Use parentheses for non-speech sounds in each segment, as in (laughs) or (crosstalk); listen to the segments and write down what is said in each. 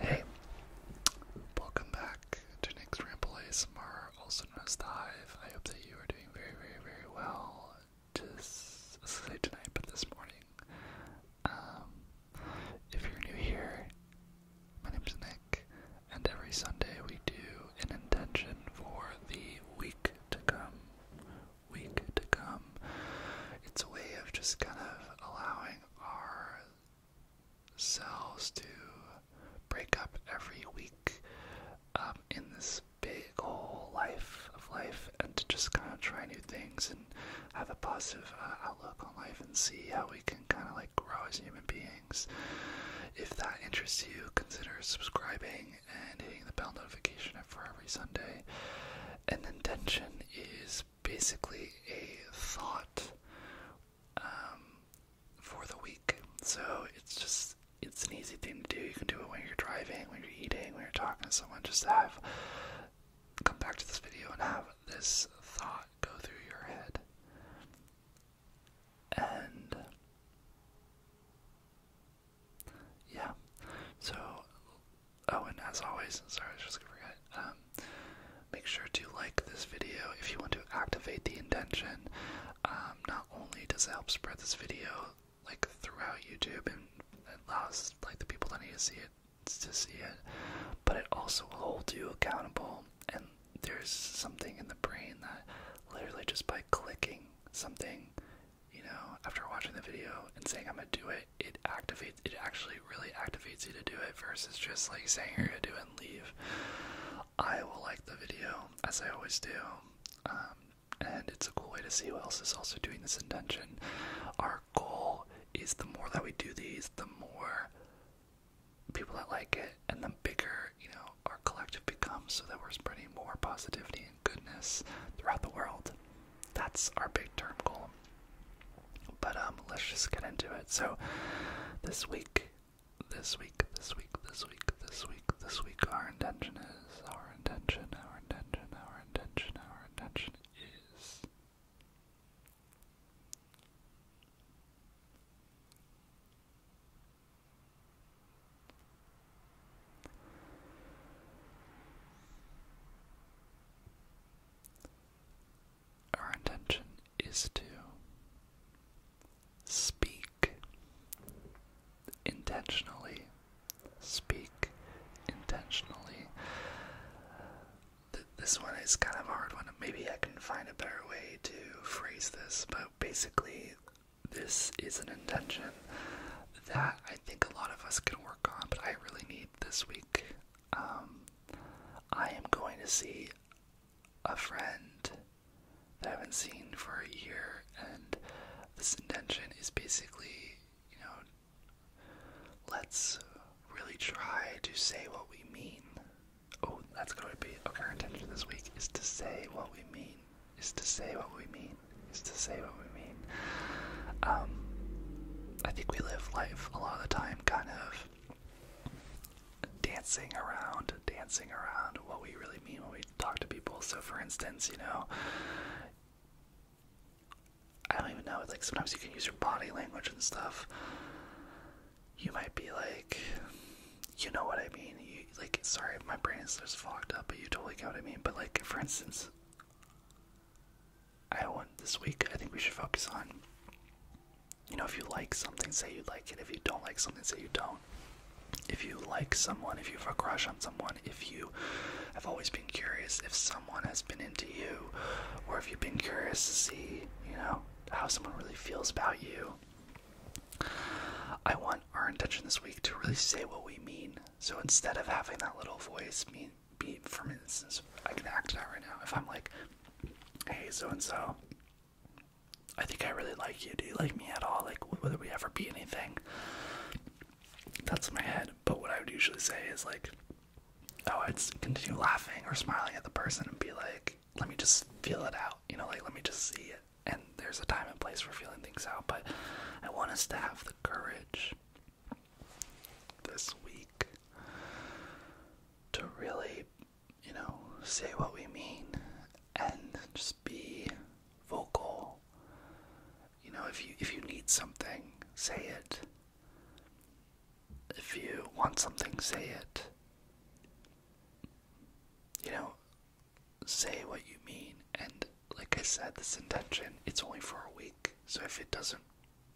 Hey, welcome back to Nick's Ramble ASMR, also known as The Hive. I hope that you are doing very, very, very well. Just sleep tonight, but this morning. Um, if you're new here, my name's Nick, and every Sunday we do an intention for the week to come week to come. It's a way of just kind of allowing ourselves to break up every week um, in this big whole life of life and to just kind of try new things and have a positive uh, outlook on life and see how we can kind of like grow as human beings. If that interests you, consider subscribing and hitting the bell notification for every Sunday. An intention is basically a thought um, for the week. So it's just it's an easy thing to do. You can do it when you're driving, when you're eating, when you're talking to someone. Just have come back to this video and have this thought go through your head. And yeah. So, oh, and as always, sorry, I just forgot. Um, make sure to like this video if you want to activate the intention. Um, not only does it help spread this video like throughout YouTube and it allows like the people that need to see it to see it, but it also holds you accountable. And there's something in the brain that literally just by clicking something, you know, after watching the video and saying I'm gonna do it, it activates it actually really activates you to do it versus just like saying you're gonna do it and leave. I will like the video as I always do. Um, and it's a cool way to see who else is also doing this intention. Our goal is the more that we do these, the more people that like it, and the bigger you know our collective becomes, so that we're spreading more positivity and goodness throughout the world. That's our big term goal. But um, let's just get into it. So this week, this week, this week, this week, this week, this week, our intention is our intention, our intention, our intention, our intention is our intention is to speak intentionally, speak intentionally this one is kind of a hard one. Maybe I can find a better way to phrase this, but basically, this is an intention that I think a lot of us can work on, but I really need this week. Um, I am going to see a friend that I haven't seen for a year, and this intention is basically, you know, let's really try to say what we mean. Oh, that's going to be our intention this week is to say what we mean. Is to say what we mean. Is to say what we mean. Um, I think we live life a lot of the time kind of dancing around, dancing around what we really mean when we talk to people. So, for instance, you know, I don't even know. like sometimes you can use your body language and stuff. You might be like, you know what I mean. like, sorry, my brain is just fogged up, but you totally get what I mean. But like, for instance, I want this week. I think we should focus on. You know, if you like something, say you like it. If you don't like something, say you don't. If you like someone, if you have a crush on someone, if you have always been curious, if someone has been into you, or if you've been curious to see, you know, how someone really feels about you. I want our intention this week to really say what we mean. So instead of having that little voice mean be for instance, I can act that right now. If I'm like, hey so and so, I think I really like you. Do you like me at all? Like whether we ever be anything? That's my head. But what I would usually say is like, oh, I'd continue laughing or smiling at the person and be like, let me just feel it out, you know, like let me just see it. And there's a time and place for feeling things out, but I want us to have the courage this week to really, you know, say what we mean and just be vocal. You know, if you if you need something, say it. If you want something, say it. You know, say what you mean. And like I said, this intention, it's only for a week. So if it doesn't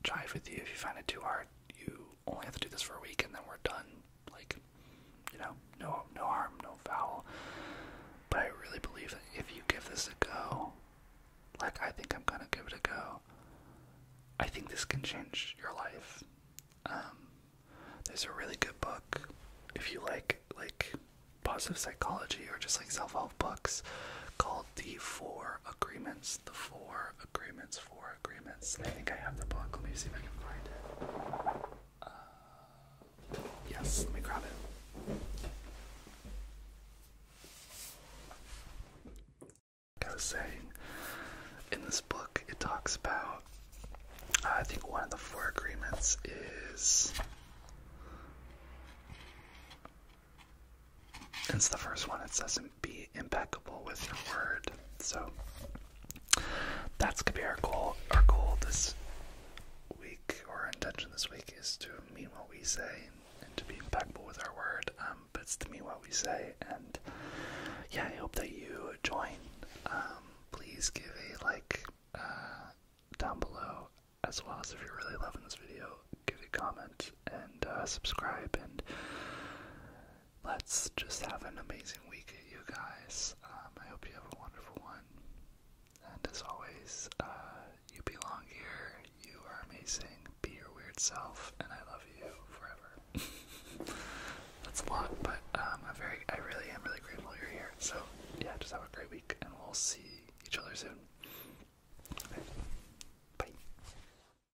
jive with you, if you find it too hard, you only have to do this for a week and then we're done. Like, you know, no no harm, no foul. But I really believe that if you give this a go, like I think I'm gonna give it a go, I think this can change your life. Um, there's a really good book if you like like positive psychology or just like self-help books called The Four Agreements. The Four Agreements, Four Agreements. I think I have the book. Let me see if I can find it. Uh, yes, let me grab it. Like I was saying, in this book, it talks about. Uh, I think one of the four agreements is. It's the first one. It says be impeccable with your word. So that's gonna be our goal. Our goal this week, or our intention this week, is to mean what we say and to be impactful with our word. Um, but it's to mean what we say, and yeah, I hope that you join. Um, please give a like uh, down below, as well as if you're really loving this video, give a comment and uh, subscribe and let's just have an amazing week, you guys. Um, I hope you have a wonderful one. And as always, uh, you belong here. You are amazing. Be your weird self, and I love you forever. (laughs) That's a lot, but um, I'm very, I really am really grateful you're here. So yeah, just have a great week, and we'll see each other soon. Bye.